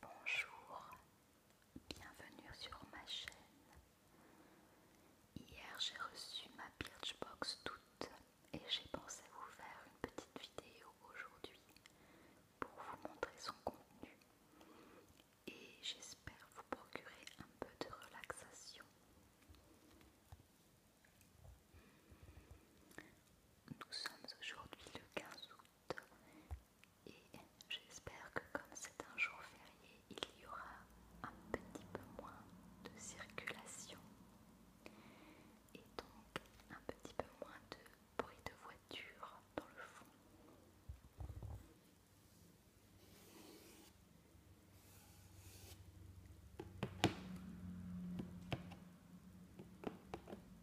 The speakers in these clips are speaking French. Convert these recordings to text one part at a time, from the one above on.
Bonjour, bienvenue sur ma chaîne. Hier j'ai reçu ma Birchbox toute et j'ai pensé vous faire une petite vidéo aujourd'hui pour vous montrer son contenu et j'espère vous procurer un peu de relaxation. Nous sommes aujourd'hui le 15 août et j'espère que comme c'est un jour férié, il y aura un petit peu moins de circulation et donc un petit peu moins de bruit de voiture dans le fond.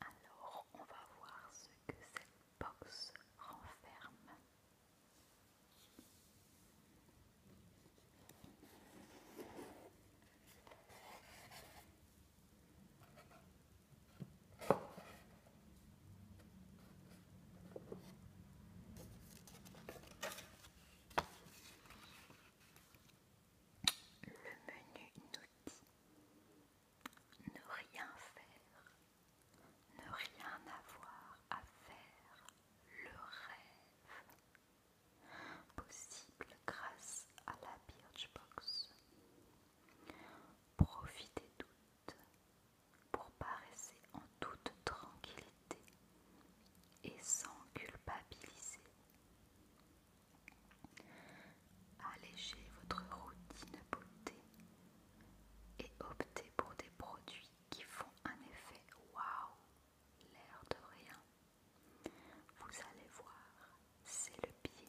Alors, on va voir ce que cette box renferme. Le menu nous dit ne rien faire, ne rien avoir à faire, le rêve, possible grâce à la Birchbox. Profitez toutes pour paraisser en toute tranquillité et sans culpabiliser Allégez votre routine beauté et optez pour des produits qui font un effet waouh, l'air de rien. Vous allez voir, c'est le pied.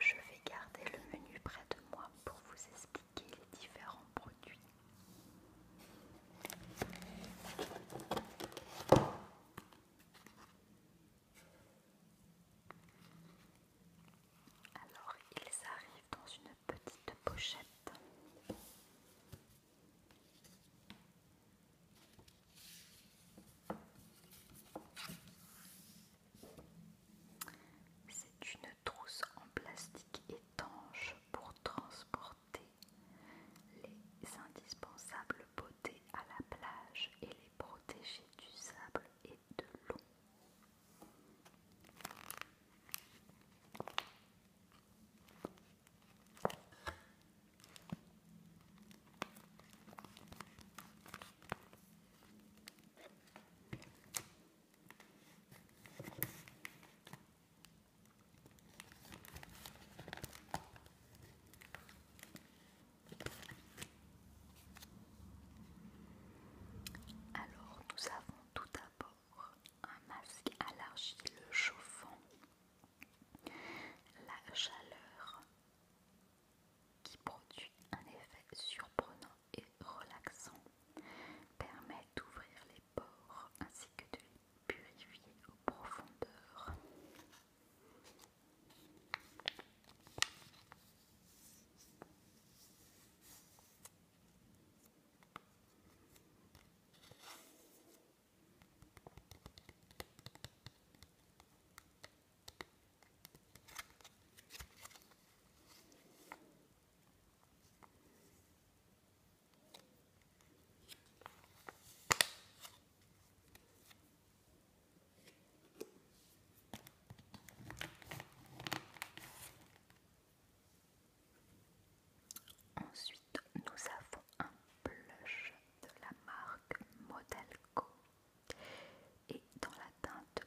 Je vais garder le menu près de moi pour vous expliquer les différents produits. Alors, ils arrivent dans une petite pochette. C'est une trousse en plastique étanche pour transporter les indispensables beautés à la plage et les protéger du sable et de l'eau. Alors nous avons tout d'abord un masque à l'argile chauffant. La chaleur qui produit un effet surprenant et relaxant, permet d'ouvrir les pores ainsi que de les purifier aux profondeurs. Ensuite, nous avons un blush de la marque Modelco et dans la teinte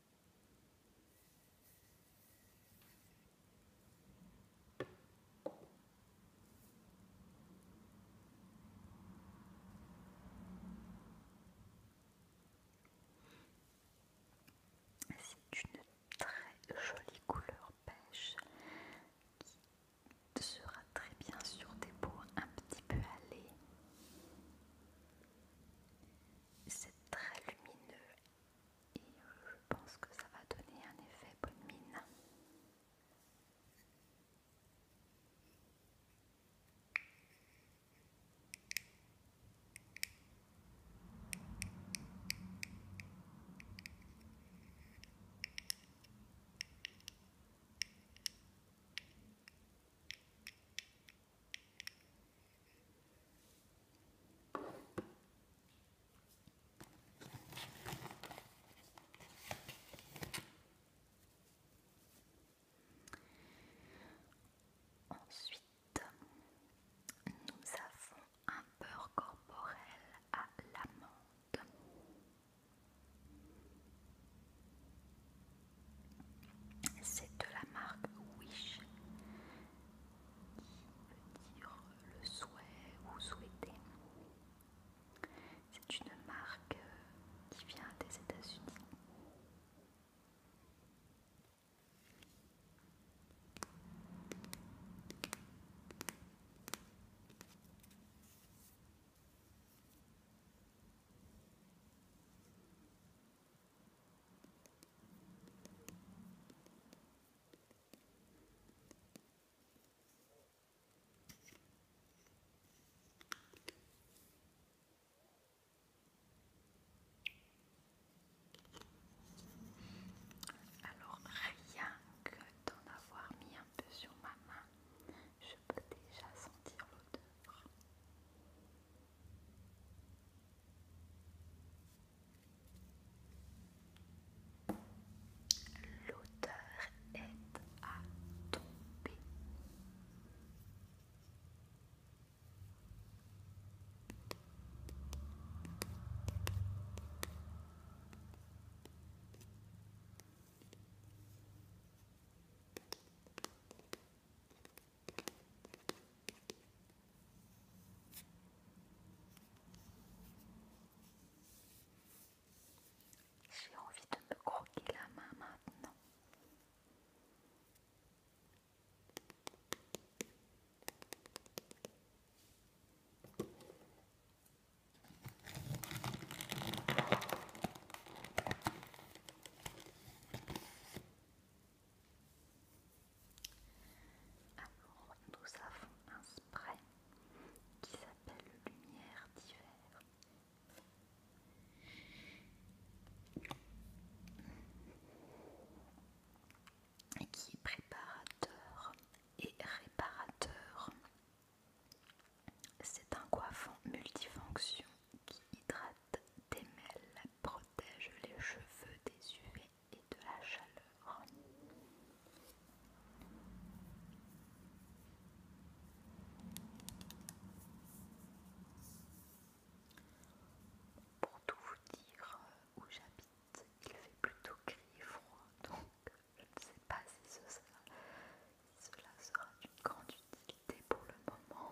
C'est une très jolie couleur pêche qui sera très bien sur des peaux un petit peu allées. C'est très lumineux et je pense que ça va donner un effet bonne mine. Ensuite, nous avons un beurre corporel à l'amande. C'est de la marque Wish qui dire le souhait ou souhaitez? C'est une marque euh, qui vient des États-Unis. Alors rien que d'en avoir mis un peu sur ma main, je peux déjà sentir l'odeur. L'auteur est à tomber. J'ai envie de me croquer la main maintenant. Alors, nous avons un spray qui s'appelle Lumière d'hiver. Et qui est préparateur et réparateur. C'est un coiffant multifonction qui hydrate, démêle, protège les cheveux des UV et de la chaleur. Pour tout vous dire euh, où j'habite, il fait plutôt gris et froid, donc je ne sais pas si, si cela sera d'une grande utilité pour le moment.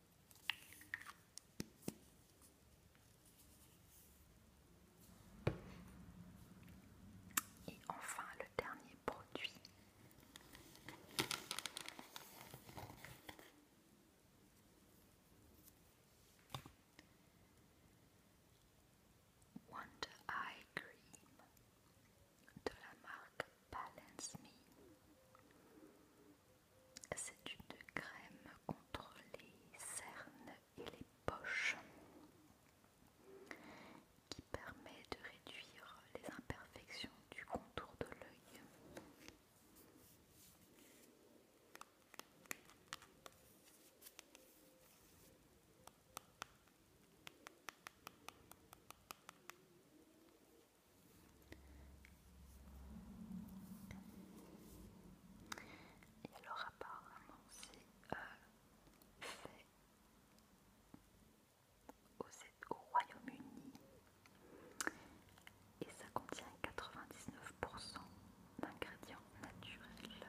Et enfin le dernier produit. Wonder Eye Cream de la marque Balance Me. C'est une crème contre les cernes et les poches qui permet de réduire les imperfections du contour de l'œil. Et alors apparemment c'est euh, fait au Royaume-Uni et ça contient 99% d'ingrédients naturels.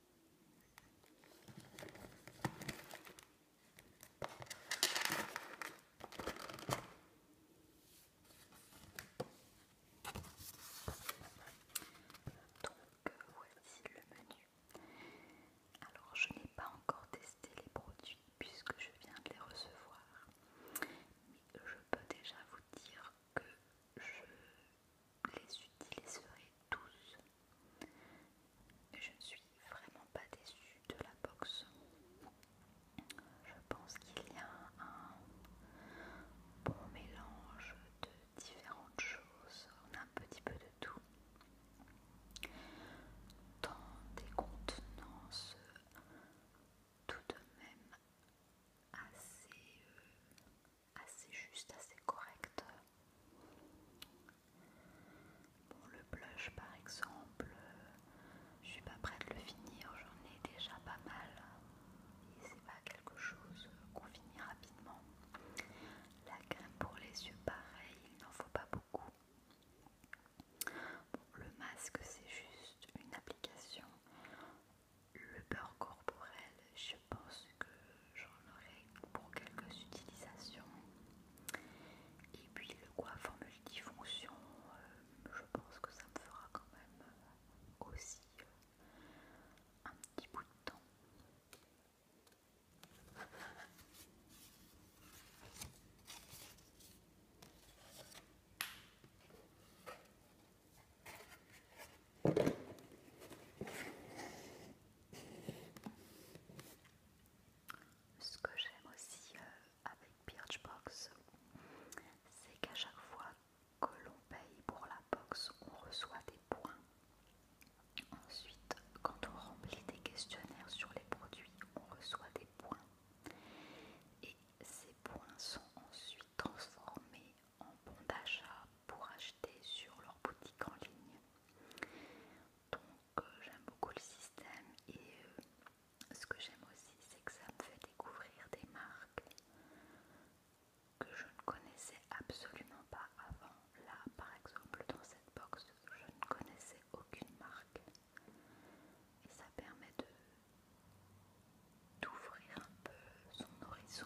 Donc euh, voici le menu. Alors je n'ai pas encore testé les produits puisque je viens de les recevoir. Mais je peux déjà vous dire que je les utiliserai tous. Je ne suis vraiment pas déçue de la box. Je pense qu'il y a un bon mélange de différentes choses. On a un petit peu de tout. Dans des contenances tout de même assez euh, assez juste, assez correct. Bon, le blush par exemple, je suis pas prête de le finir, j'en ai déjà pas mal et c'est pas quelque chose qu'on finit rapidement. La crème pour les yeux, pareil, il n'en faut pas beaucoup. Bon, le masque, c'est juste une application. Le beurre corporel, je pense que j'en aurai pour quelques utilisations. Et puis le coiffeur multifonction, euh, je pense que ça me fera quand même euh, aussi euh, un petit bout de temps. Ce que j'aime aussi euh, avec Birchbox, c'est qu'à chaque fois que l'on paye pour la box, on reçoit des points. Ensuite, quand on remplit des questionnaires sur les produits, on reçoit des points. Et ces points sont ensuite transformés en bons d'achat pour acheter sur leur boutique en ligne donc euh, j'aime beaucoup le système et euh, ce que j'aime aussi c'est que ça me fait découvrir des marques que je ne connaissais absolument pas avant. Là par exemple dans cette box je ne connaissais aucune marque et ça permet de d'ouvrir un peu son horizon.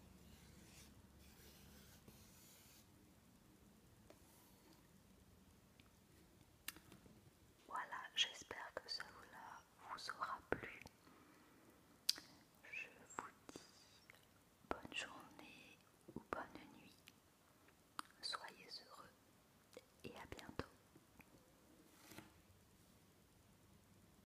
Voilà, j'espère que cela vous aura plu. Je vous dis bonne journée ou bonne nuit. Soyez heureux et à bientôt.